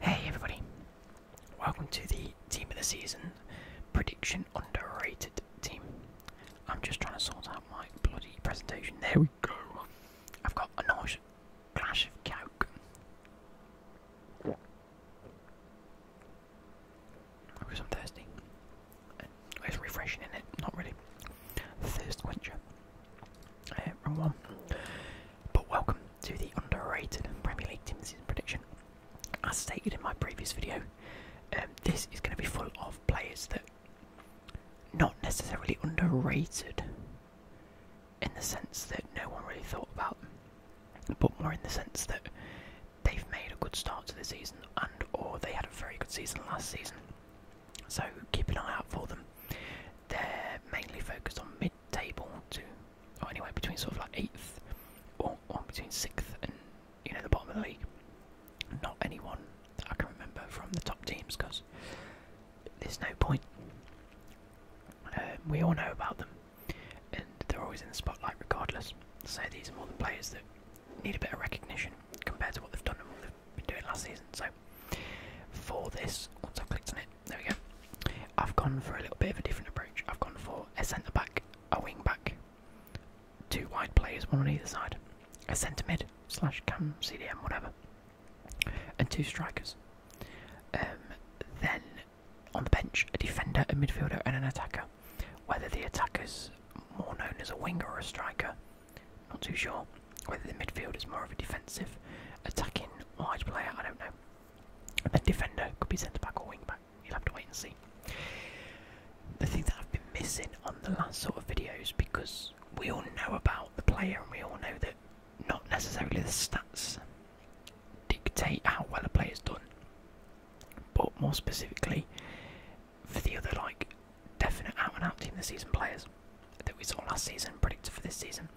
Hey everybody, welcome to the Team of the Season Prediction Underrated Team. I'm just trying to sort out my bloody presentation. There we go. I've got a nice glass of Coke. Because I'm thirsty. It's refreshing in it, not really. Thirst quencher. Uh, wrong one. But welcome to the underrated Premier League team season prediction. As stated in my previous video, um, this is going to be full of players that not necessarily underrated in the sense that no one really thought about them, but more in the sense that they've made a good start to the season and or they had a very good season last season. So keep an eye out for them. They're mainly focused on mid table to, or anywhere between sort of like eighth or, between sixth and you know the bottom of the league. Not anyone I can remember from the top teams because there's no point. Um, we all know about them, and they're always in the spotlight regardless. So these are more the players that need a bit of recognition compared to what they've done and what they've been doing last season. So for this, once I've clicked on it, there we go. I've gone for a little bit of a different approach. I've gone for a centre back, a wing back, two wide players, one on either side, a centre mid slash cam CDM whatever, and two strikers. Um, then on the bench, a defender, a midfielder, and an attacker. Whether the attacker's more known as a winger or a striker, not too sure. Whether the midfielder's more of a defensive, attacking wide player, I don't know a defender, could be centre back or wing back. You'll have to wait and see. The thing that I've been missing on the last sort of videos because we all know about the player and we all know that not necessarily the stats dictate how well a player's done, but more specifically for the other like definite out and out team of the season players that we saw last season, predicted for this season.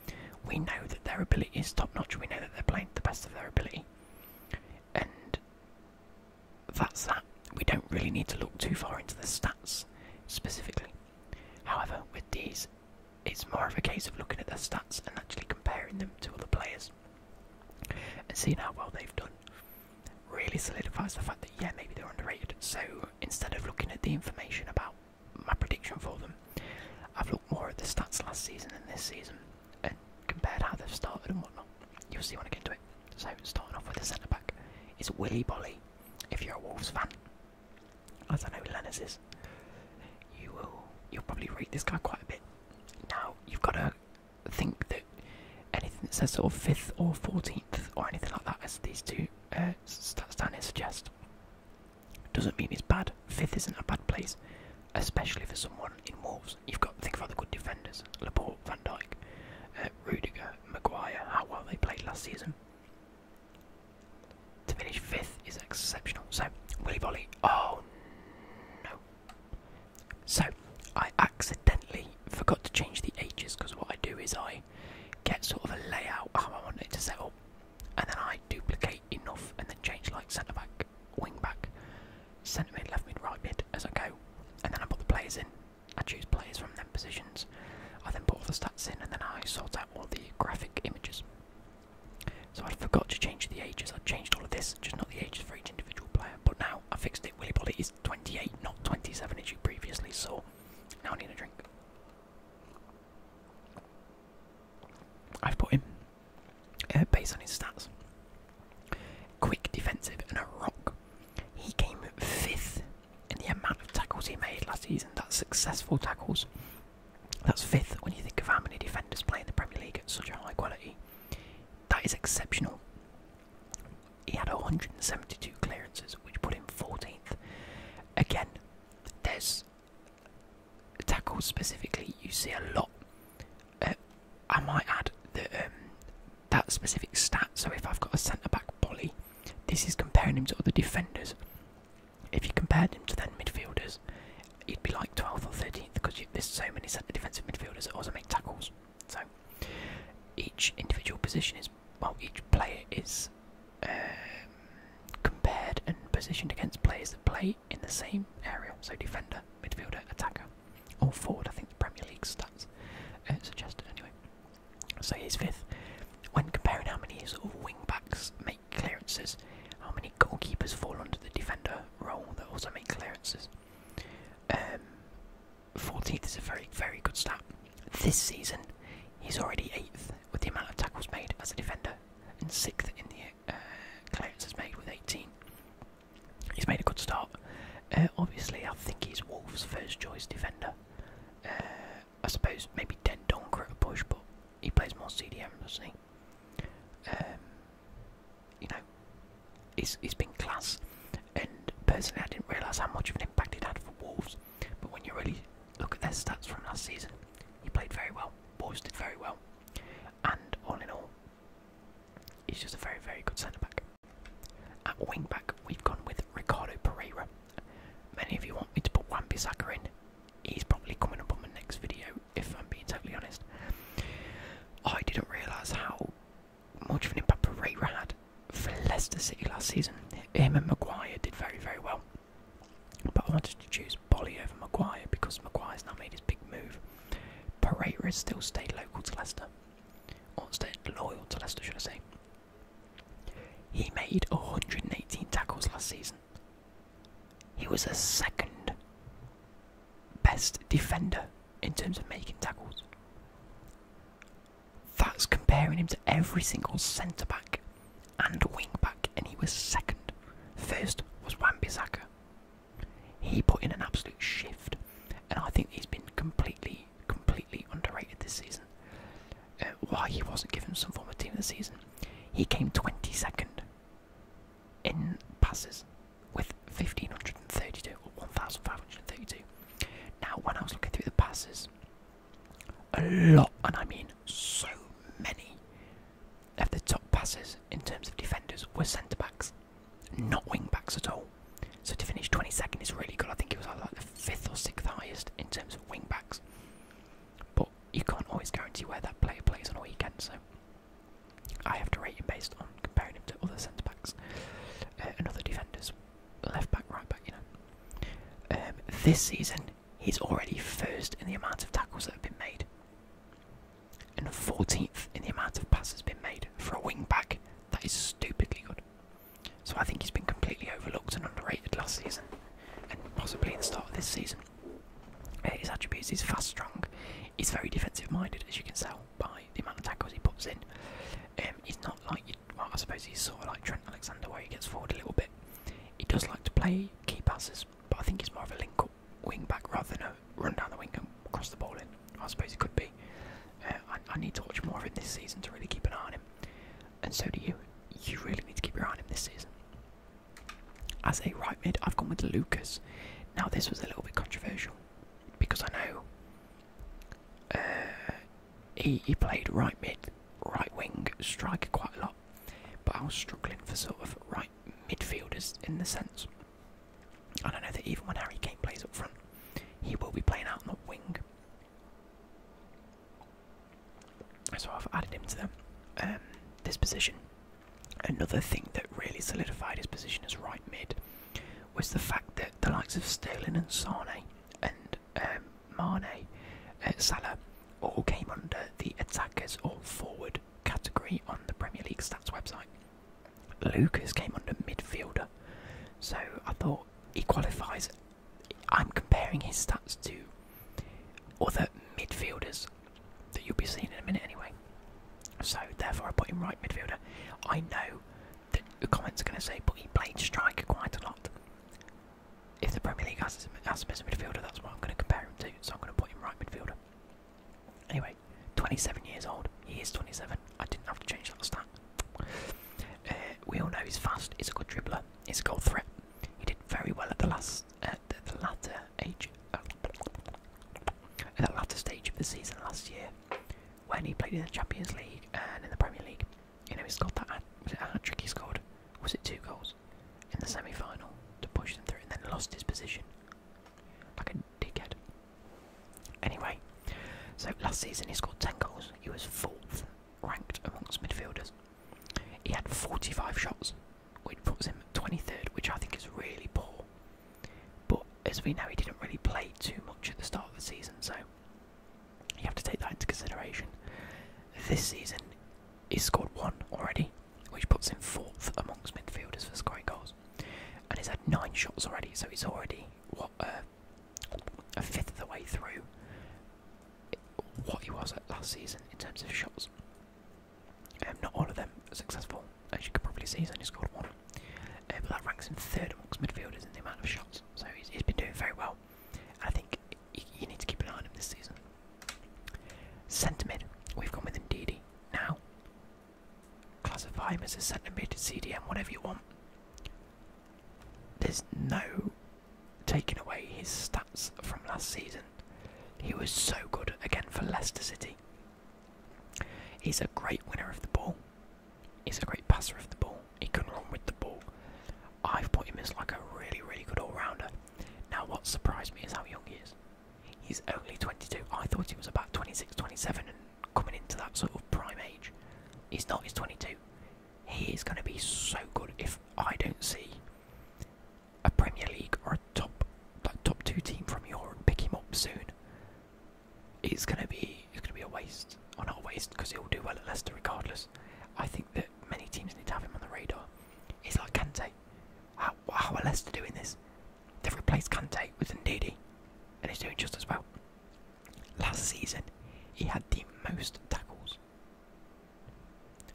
We know that their ability is top notch. We know that they're playing to the best of their ability, and that's that. We don't really need to look too far into the stats specifically. However, with these, it's more of a case of looking at their stats and actually comparing them to other players and seeing how well they've done. Really solidifies the fact that yeah, maybe they're underrated. So instead of looking at the information about my prediction for them. I've looked more at the stats last season than this season and compared how they've started and whatnot. You'll see when I get to it. So, starting off with the centre back, it's Willy Bolly. If you're a Wolves fan, as I know Lenners is, you will you'll probably rate this guy quite a bit. Now you've got to think that anything that says sort of fifth or fourteenth or anything like that, as these two uh, stats down here suggest, doesn't mean it's bad. Fifth isn't a bad place, especially for someone in Wolves. You've got to think about the good defenders: Laporte, Van Dijk, uh, Rudiger, Maguire. How well they played last season. To finish fifth is exceptional. So Willy Volley. Oh no. So I accidentally forgot to change the ages because what I do is I get sort of a layout how I want it to set up and then I duplicate enough and then change like centre back, wing back, centre mid, left mid, right mid as I go, and then I put the players in. I choose players from them positions. I then put all the stats in and then I sort out all the graphic images. So I forgot to change the ages. I changed all of this, just not the ages for each individual player. But now I fixed it. Willy Bolly is 28, not 27 as you previously saw. Now I need a drink. I've put him uh, based on his stats. Quick, defensive, and a rock. He came fifth in the amount of tackles he made last season. That's successful tackles. That's fifth when you think of how many defenders play in the Premier League at such a high quality. That is exceptional. He had 172 clearances, which put him 14th. Again, this tackles specifically, you see a lot. Uh, I might add um, that specific stat. So if I've got a centre back Bolly, this is comparing him to other defenders. If you compare him to then midfielders, he'd be like 12th or 13th because there's so many centre defensive midfielders that also make tackles. So each individual position is well, each player is um, compared and positioned against players that play in the same area, so defender, midfielder, attacker, or forward. I think the Premier League stats uh, suggested anyway. So he's fifth. When comparing how many sort of wing backs make clearances, how many goalkeepers fall under the defender role that also make clearances. 14th um, is a very, very good stat. This season, he's already 8th with the amount of tackles made as a defender and sixth in the uh, Clouds has made with 18. He's made a good start. Uh, obviously, I think he's Wolves' first choice defender. Uh, I suppose maybe Den Donker at a push, but he plays more CDM, doesn't he? Um, you know, he's, he's been class, and personally, I didn't realise how much of an impact he'd had for Wolves but when you really look at their stats from last season, he played very well, Boys did very well, and all in all, he's just a very, very good centre back. At wing back, we've gone with Ricardo Pereira. Many of you want me to put Wambi Saka in. He's probably coming up on the next video, if I'm being totally honest. I didn't realise how much of an impact Pereira had for Leicester City last season. Him and Maguire did very, very well. But I wanted to choose Bolly over Maguire because Maguire's now made his big move. Pereira has still stayed local to Leicester. Or stayed loyal to Leicester, should I say. He made 118 tackles last season. He was the second best defender in terms of making tackles. That's comparing him to every single centre back and wing and he was second. First was wan He put in an absolute shift, and I think he's been completely, completely underrated this season. Uh, why he wasn't given some form of team of the season? He came 22nd in passes with 1532 or 1532. Now, when I was looking through the passes, a lot, and I mean so many of the top passes in terms of defenders were centre backs, not wing backs at all. So to finish 22nd is really good. I think it was uh, like the fifth or sixth highest in terms of wing backs. But you can't always guarantee where that player plays on a weekend, so I have to rate him based on comparing him to other centre backs uh, and other defenders, left back, right back, you know. Um, this season, he's already first in the amount of tackles that have been made, and 14th in the amount of passes been made for a wingback That is stupidly good. So I think he's been completely overlooked and underrated last season, and possibly the start of this season. Uh, his attributes: he's fast, strong, he's very defensive-minded, as you can tell by the amount of tackles he puts in. Um, he's not like, well, I suppose he's sort of like Trent Alexander, where he gets forward a little bit. He does like to play three key passes, but I think he's more of a link up wing back rather than a run down the wing and cross the ball in. I suppose it could be. Uh, I, need to watch more of him this season to really keep an eye on him, and so do you. You really need to keep your eye on him this season. As a right mid, I've gone with Lucas. Now this was a little bit controversial because I know uh, he he played right mid, right wing striker quite a lot but I was struggling for sort of right midfielders in the sense. I don't know that even when Harry Kane plays up front, he will be playing out on the wing. So I've added him to them, um, this position. Another thing that really solidified his position as right mid was the fact that the likes of Sterling and Sane and um, Mane, uh, Salah, all came under the attackers or forward category on the Premier League stats website. Lucas came under midfielder, so I thought he qualifies. I'm comparing his stats to other midfielders that you'll be seeing in a minute anyway. So therefore I put him right midfielder. I know that the comments are going to say, but he played striker quite a lot if the Premier League has, has him as a midfielder, that's what I'm going to compare him to. So I'm going to put him right midfielder. Anyway, 27 years old. He is 27. I didn't have to change that stat. Uh, we all know he's fast. He's a good dribbler. He's a goal threat. He did very well at the last, the, latter age, uh, at the latter stage of the season last year, when he played in the Champions League and in the Premier League. You know, he scored that. Was it a hat trick he scored? Was it two goals in the semi final to push them through and then lost his position? Like a dickhead. Anyway, so last season he scored 10 goals. He was fourth ranked amongst midfielders. He had 45 shots, which puts him 23rd, which I think is really poor. But as we know, he didn't really play too much at the start of the season, so you have to take that into consideration. This season, he's scored one already, which puts him fourth amongst midfielders for scoring goals. And he's had nine shots already, so he's already what uh, a fifth of the way through what he was last season in terms of shots. Um, not all of them successful, as you can probably see, he's only scored one. Uh, but that ranks him third amongst midfielders in the amount of shots, so he's been doing very well. I think you, need to keep an eye on him this season. Centre we've gone with Ndidi. Now, classify him as a centre CDM, whatever you want. There's no taking away his stats from last season. He was so good again for Leicester City. He's a great winner of the ball. He's a great passer of the ball. He can run with the ball. I've put him as like a really, really good all-rounder. Now, what surprised me is how young he is. He's only 22. I thought he was about 26, 27, and coming into that sort of prime age. He's not. He's 22. He is going to be so good if I don't see a Premier League or a top, like top two team from Europe pick him up soon. It's going to be. It's going to be a waste. Or not a waste because he'll do well at Leicester regardless. I think that many teams need to have him on the radar. He's like Kante. How, how are Leicester doing this? They've replaced Kante with Ndidi, and he's doing just as well. Last season, he had the most tackles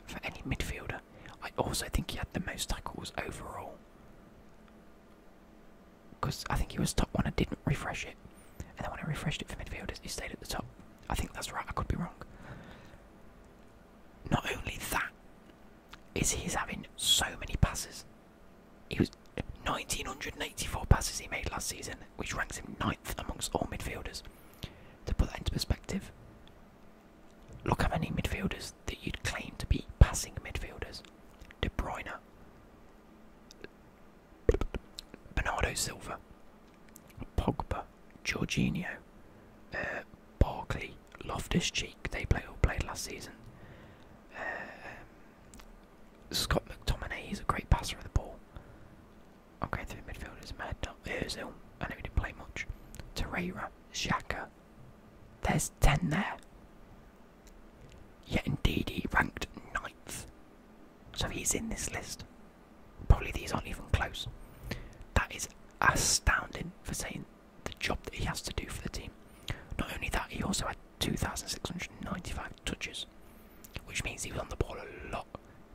for any midfielder. I also think he had the most tackles overall. Because I think he was top one and didn't refresh it. And then when I refreshed it for midfielders, he stayed at the top. I think that's right, I could be wrong. Not only that, is he's having so many passes. He was 1984 passes he made last season, which ranks him ninth amongst all midfielders. To put that into perspective, look how many midfielders that you'd claim to be passing midfielders. De Bruyne, Bernardo Silva, Pogba, Jorginho, uh, Barkley, Loftus Cheek, they all played last season. Uh, um, Scott McTominay, he's a great passer of the ball. Okay, three midfielders, mad not Ozil, I know didn't play much. Torreira, Shaka. there's 10 there. Yet indeed he ranked ninth. So he's in this list. Probably these aren't even close. That is astounding for saying the job that he has to do for the team. Not only that, he also had 2,695 touches, which means he was on the ball a lot,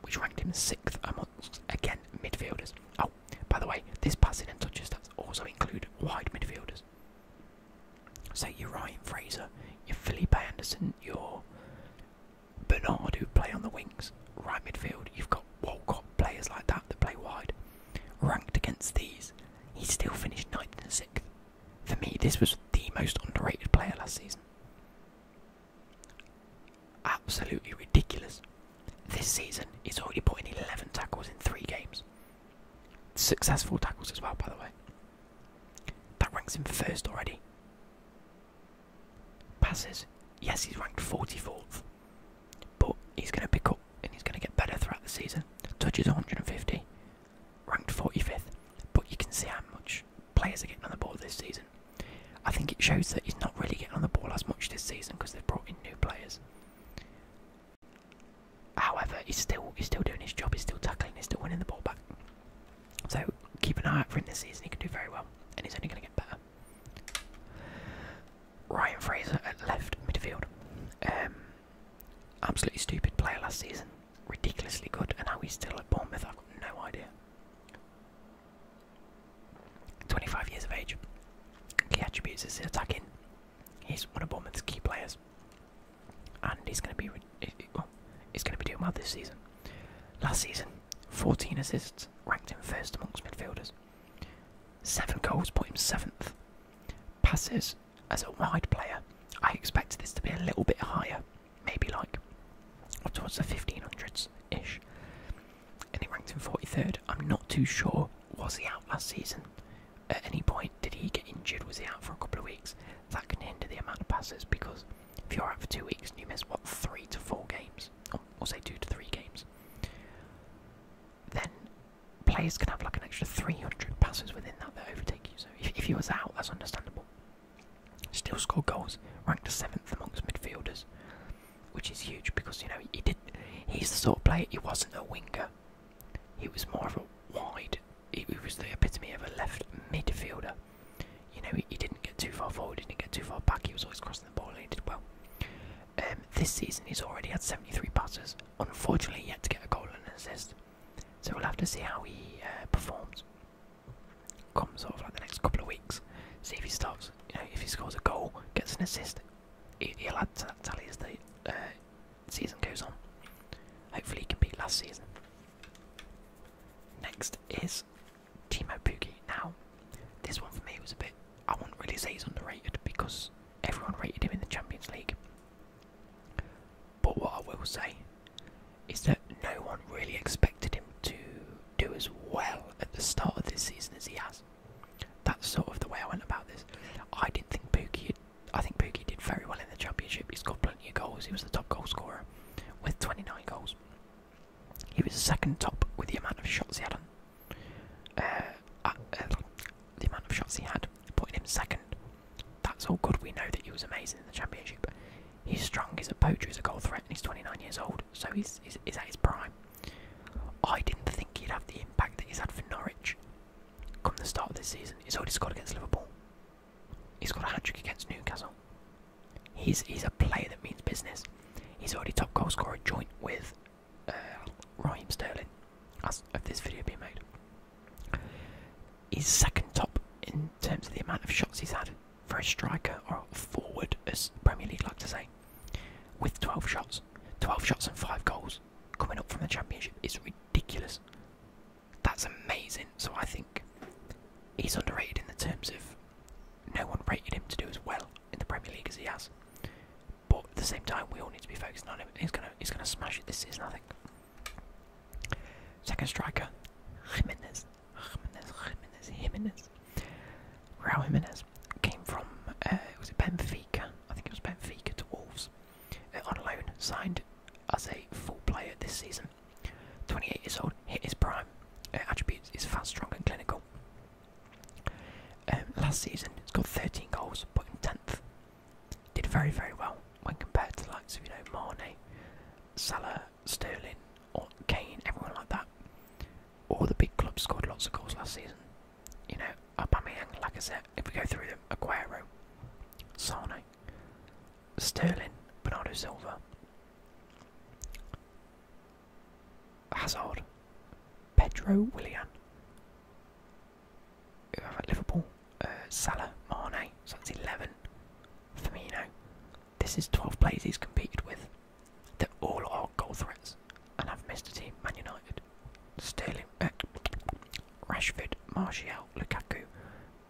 which ranked him sixth amongst, again, midfielders. Oh, by the way, this passing and touches stats also include wide midfielders. So you're Ryan Fraser, You're Philippe Anderson, You're. Bernard who play on the wings, right midfield. You've got Walcott players like that that play wide. Ranked against these, he still finished ninth and sixth. For me, this was the most underrated player last season. Absolutely ridiculous. This season, he's already put in 11 tackles in three games. Successful tackles as well, by the way. That ranks him first already. Passes. Yes, he's ranked 44th, but he's going to pick up and he's going to get better throughout the season. Touches 150, ranked 45th, but you can see how much players are getting on the ball this season. I think it shows that he's not really getting on the ball as much this season because they've brought in new players. However, he's still he's still doing his job. He's still tackling. He's still winning the ball back. So keep an eye out for him this season. He can do very well, and he's only going to get better. Ryan Fraser at left midfield. Um, absolutely stupid player last season. Ridiculously good, and now he's still at Bournemouth. I've got no idea. 25 years of age. Key attributes is attacking. He's one of Bournemouth's key players, and he's going to be well, he's going to be doing well this season. Last season, 14 assists, ranked him first amongst midfielders. 7 goals put him 7th. Passes as a wide player, I expect this to be a little bit higher, maybe like towards the 1500s ish. And he ranked him 43rd. I'm not too sure, was he out last season? At any point, did he get injured? Was he out for a couple of weeks? That can hinder the amount of passes because if you're out for two weeks and you miss, what, three to four games, or, say two to three games, then players can have like an extra 300 passes within that that overtake you. So if, if you was out, that's understandable. Still scored goals, ranked seventh amongst midfielders, which is huge because you know he did. He's the sort of player. He wasn't a winger. He was more of a wide. he was the epitome of a left midfielder you know, he, didn't get too far forward, he didn't get too far back, he was always crossing the ball and he did well. Um, this season he's already had 73 passes, unfortunately yet to get a goal and an assist, so we'll have to see how he uh, performs come sort of like the next couple of weeks, see if he starts, you know, if he scores a goal, gets an assist, he, will add to that tally as the uh, season goes on. Hopefully he can beat last season. Next is Timo Pukki. Now, this one for me was a bit. I will not really say he's underrated because everyone rated him in the Champions League. But what I will say is that no one really expected him to do as well at the start of this season as he has. That's sort of the way I went about this. I didn't think Pukki. I think Pukki did very well in the Championship. He has got plenty of goals. He was the top goal scorer with 29 goals. He was second top with the amount of shots he had on. Uh, uh, uh, the amount of shots he had, putting him second. That's all good. We know that he was amazing in the championship. He's strong. He's a poacher. He's a goal threat, and he's 29 years old. So he's he's, at his prime. I didn't think he'd have the impact that he's had for Norwich. Come the start of this season, he's already scored against Liverpool. He's got a hat trick against Newcastle. He's he's a player that means business. He's already top goal scorer joint with uh, Raheem Sterling as of this video being made. He's second top in terms of the amount of shots he's had for a striker or forward, as Premier League like to say, with 12 shots. 12 shots and 5 goals coming up from the Championship is ridiculous. That's amazing. So I think he's underrated in the terms of no one rated him to do as well in the Premier League as he has. But at the same time, we all need to be focusing on him. He's gonna, he's gonna smash it this season, I think. Second striker, Jimenez, Jimenez, Jimenez, Jimenez. Raúl Jimenez came from, uh, was it Benfica? I think it was Benfica to Wolves uh, on loan, signed as a full player this season. 28 years old, hit his prime. attributes is fast, strong, and clinical. Um, last season, scored 13 goals, but in 10th. Did very, very well when compared to the likes of, you know, Mane, Salah, Sterling, or Kane, everyone like that. All the big clubs scored lots of goals last season. You know, Aubameyang, like I said, if we go through them, Aguero, Sane, Sterling, Bernardo Silva, Hazard, Pedro Willian, Liverpool, uh, Salah, Mane, so that's 11. Firmino, this is 12 players he's competed with that all are goal threats and i have missed a team. Man United, Sterling, uh, Rashford, Martial, Lukaku,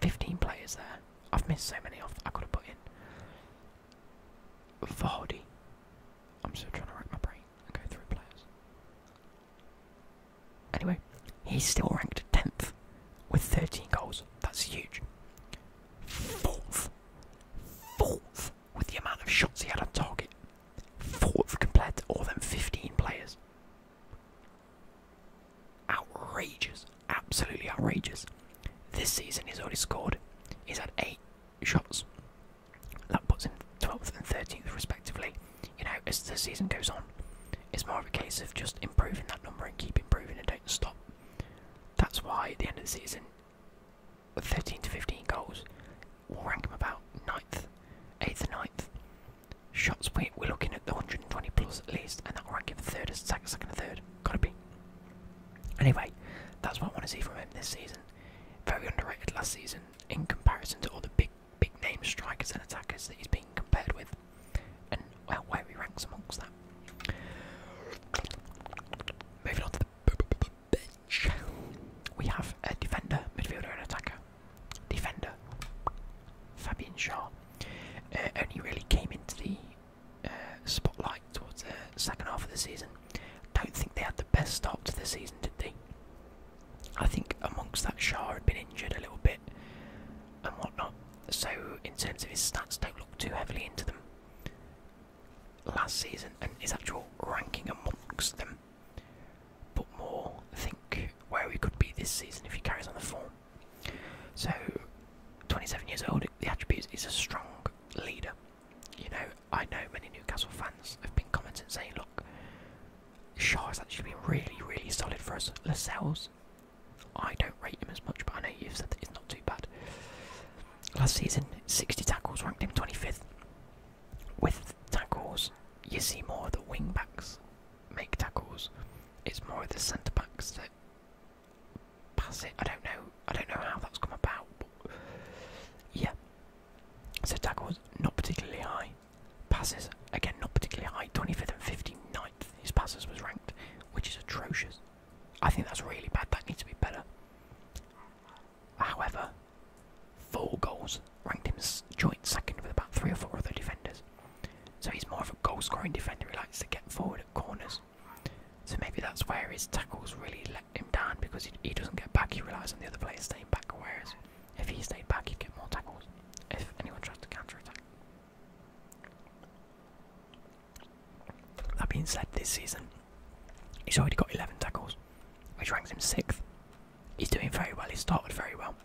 15 players there. I've missed so many off that I could have put in. Vardy. I'm still trying to rack my brain. Okay, three players. Anyway, he's still ranked 10th with 13 goals. That's huge. Fourth. Fourth with the amount of shots he had on target. Fourth compared to all them 15 players. Outrageous absolutely outrageous. This season, he's already scored. He's had eight shots. That puts 12th and 13th, respectively. You know, as the season goes on, it's more of a case of just improving that number and keep improving and don't stop. That's why at the end of the season, 13 to 15 goals will rank him about 9th, 8th, and 9th. Shots, we're looking at the 120 plus at least, and that will rank him third as second, second, and third. Gotta be. Anyway, that's what I want to see from him this season. Very underrated last season in comparison to all the big, big name strikers and attackers that he's been compared with, and where he ranks amongst that. Moving on to the bench, we have a defender, midfielder, and attacker. Defender, Fabian Shaw, uh, only really came into the uh, spotlight towards the second half of the season. Don't think they had the best start to the season, did they? I think amongst that Shah had been injured a little bit and whatnot. So in terms of his stats, don't look too heavily into them. Last season and his actual ranking amongst them, but more think where he could be this season if he carries on the form so, 27 years old, the attributes is a strong leader. You know, I know many Newcastle fans have been commenting saying, look, Shaw has actually been really, really solid for us. Lascelles, I don't rate him as much, but I know you've said that he's not too bad. Last season, 60 tackles, ranked him 25th. With tackles, you see more the wing backs make tackles. It's more the centre backs that pass it. I don't know. I don't know how that's come about. yeah. So tackle was not particularly high. Passes again not particularly high. 25th and 59th. His passes was ranked, which is atrocious. I think that's really bad. That needs to be better. However, four goals ranked him joint second with about three or four other defenders. So he's more of a goal-scoring defender. He likes to get forward at corners. So maybe that's where his tackles really let him down because he, doesn't get back. He relies on the other players staying back. Whereas if he stayed back, he'd get more tackles if anyone tries to counter attack. That being said, this season he's already got 11 tackles, which ranks him sixth. He's doing very well. He started very well.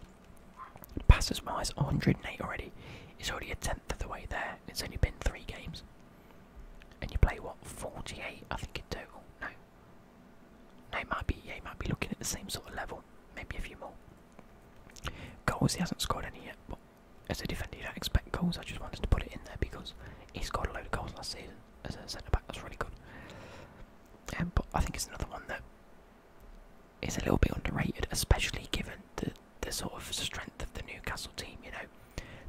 Passes wise, 108 already. He's already at 10 the way there. It's only been three games, and you play what forty-eight, I think in total. No, no, it might be. Yeah, might be looking at the same sort of level, maybe a few more. Goals, he hasn't scored any yet, but as a defender, you don't expect goals. I just wanted to put it in there because he scored a load of goals last season as a centre back. That's really good. Um, but I think it's another one that is a little bit underrated, especially given that the, sort of strength of the Newcastle team, you know.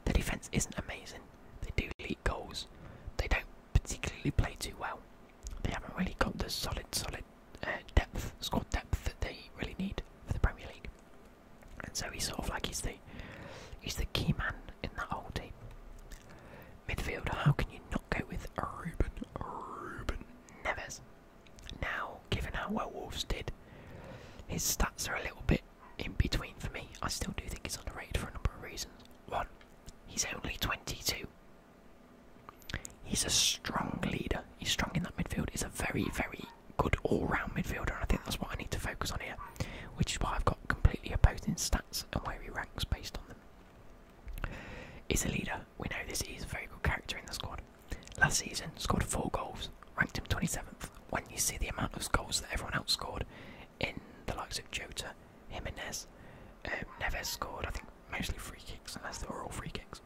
Their defence isn't amazing. They do leak goals. They don't particularly play too well. They haven't really got the solid, solid uh, depth, squad depth that they really need for the Premier League. And so he's sort of like he's the he's the key man in that whole team. Midfield, how can you not go with Ruben Ruben Neves? Now, given how well Wolves did, his stats are a little bit in between for me. I still do think he's underrated for a number of reasons. One, he's only 22. He's a strong leader. He's strong in that midfield. He's a very, very good all-round midfielder, and I think that's what I need to focus on here, which is why I've got completely opposing stats and where he ranks based on them. He's a leader. We know this. He's a very good character in the squad. Last season, scored four goals, ranked him 27th. When you see the amount of goals that everyone else scored, in the likes of Jota, Jimenez, um, Neves scored, I think mostly free kicks, unless they were all free kicks.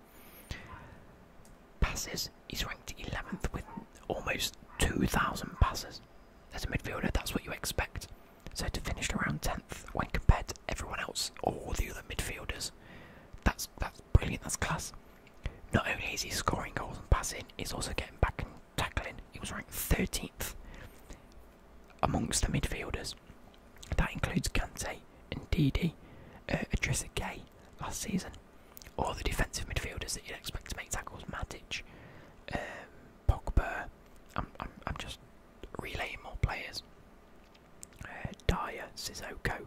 Passes, he's ranked 11th with almost 2,000 passes. As a midfielder, that's what you expect. So to finish around 10th when compared to everyone else, all the other midfielders, that's, that's brilliant. That's class. Not only is he scoring goals and passing, he's also getting back and tackling. He was ranked 13th amongst the midfielders. That includes Kante and Didi, uh, Adrissa Gay last season. All the defensive midfielders that you'd expect to make tackles, Matic, um, Pogba. I'm, just relaying more players. Uh, Dyer, Sissoko,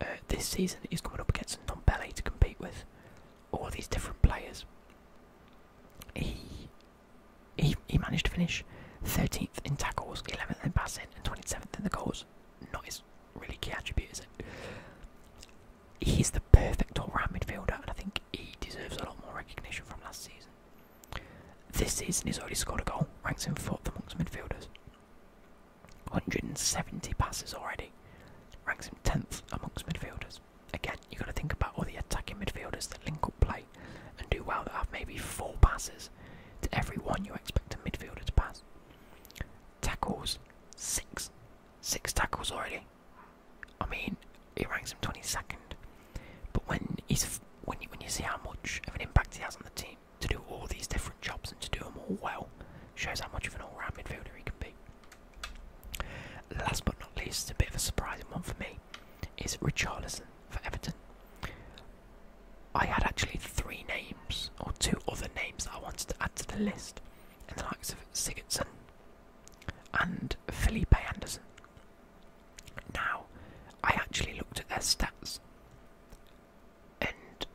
uh, this season he's coming up against Ndombele to compete with all these different players. He, he managed to finish 13th in tackles, 11th in passing, and 27th in the goals. Not his really key attribute, is it? He's the perfect all-round midfielder, and I think he deserves a lot more recognition from last season. This season, he's already scored a goal, ranks him fourth amongst midfielders. 170 passes already. Ranks him 10th amongst midfielders. Again, you've got to think about all the attacking midfielders that link up play and do well that have maybe four passes to every one you expect a midfielder to pass. Tackles, six. Six tackles already. I mean, he ranks him 22nd. But when he's when you, when you see how much of an impact he has on the team, to do all these different jobs and to do them all well shows how much of an all-round midfielder he can be. Last but not least, a bit of a surprising one for me, is Richarlison for Everton. I had actually three names, or two other names I wanted to add to the list, in the likes of Sigurdsson and Felipe Anderson. Now, I actually looked at their stats and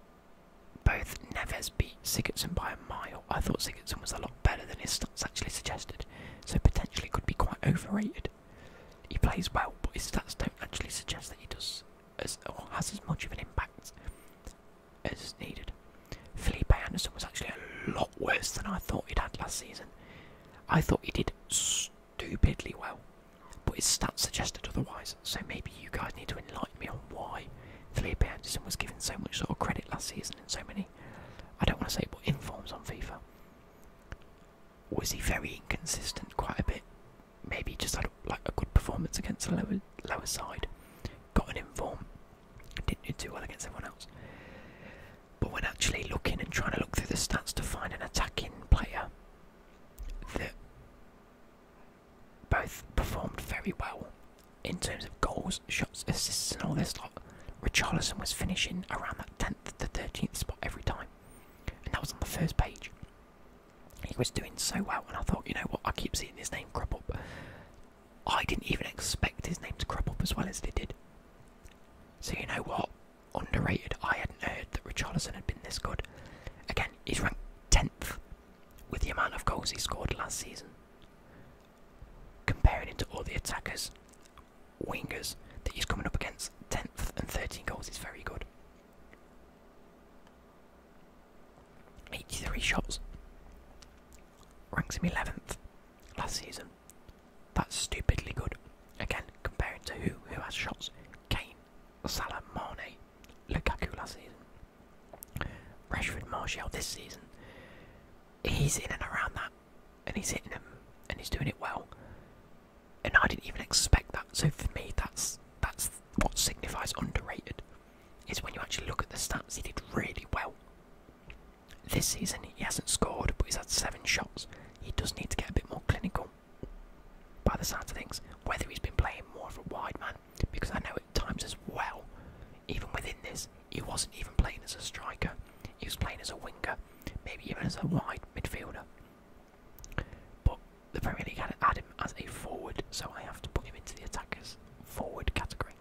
both Neves beat Sigurdsson by a mile. I thought Sigurdsson was a lot better than his stats actually suggested, so potentially could be quite overrated. He plays well, but his stats don't actually suggest that he does as has as much of an impact as needed. Felipe Anderson was actually a lot worse than I thought he had last season. I thought he did stupidly well but his stats suggested otherwise, so maybe you guys need to enlighten me on why Felipe Anderson was given so much sort of credit last season and so many, I don't want to say, but informs on FIFA. Was he very inconsistent quite a bit? Maybe he just had like a good performance against the lower, lower side, got an inform, didn't do too well against someone else. But when actually looking and trying to look through the stats to find an attacking player that both performed very well in terms of goals, shots, assists, and all this lot. Richarlison was finishing around that 10th to 13th spot every time, and that was on the first page. He was doing so well, and I thought, you know what, I keep seeing his name crop up. I didn't even expect his name to crop up as well as it did. So, you know what? Underrated. I hadn't heard that Richarlison had been this good. Again, he's ranked 10th with the amount of goals he scored last season. Comparing it to all the attackers, wingers that he's coming up against, 10th and 13 goals is very good. 83 shots. Ranks him 11th last season. That's stupidly good. Again, comparing to who who has shots. Kane Salah, Mane, Lukaku last season, Rashford, Martial this season. He's in and around that, and he's hitting them, and he's doing it well. And I didn't even expect that. So for me, that's that's what signifies underrated. Is when you actually look at the stats, he did really well. This season, he hasn't scored, but he's had seven shots. He does need to get a bit more clinical by the sounds of things, whether he's been playing more of a wide man, because I know at times as well, even within this, he wasn't even playing as a striker, he was playing as a winger, maybe even as a wide midfielder. But the Premier League had, had him as a forward, so I have to put him into the attackers forward category.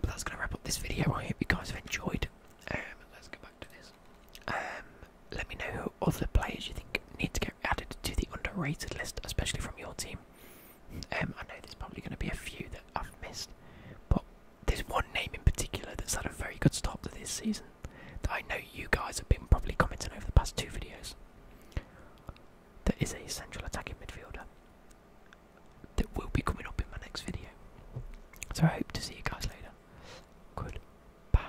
But that's going to wrap up this video. I hope you guys have enjoyed. Um, let's go back to this. Um, let me know who other players you think need to get added to the underrated list, especially from your team. Um, I know there's probably going to be a few that I've missed, but there's one name in particular that's had a very good start to this season that I know you guys have been probably commenting over the past two videos. That is a central attacking midfielder that will be coming up in my next video. So I hope to see you guys later. Goodbye.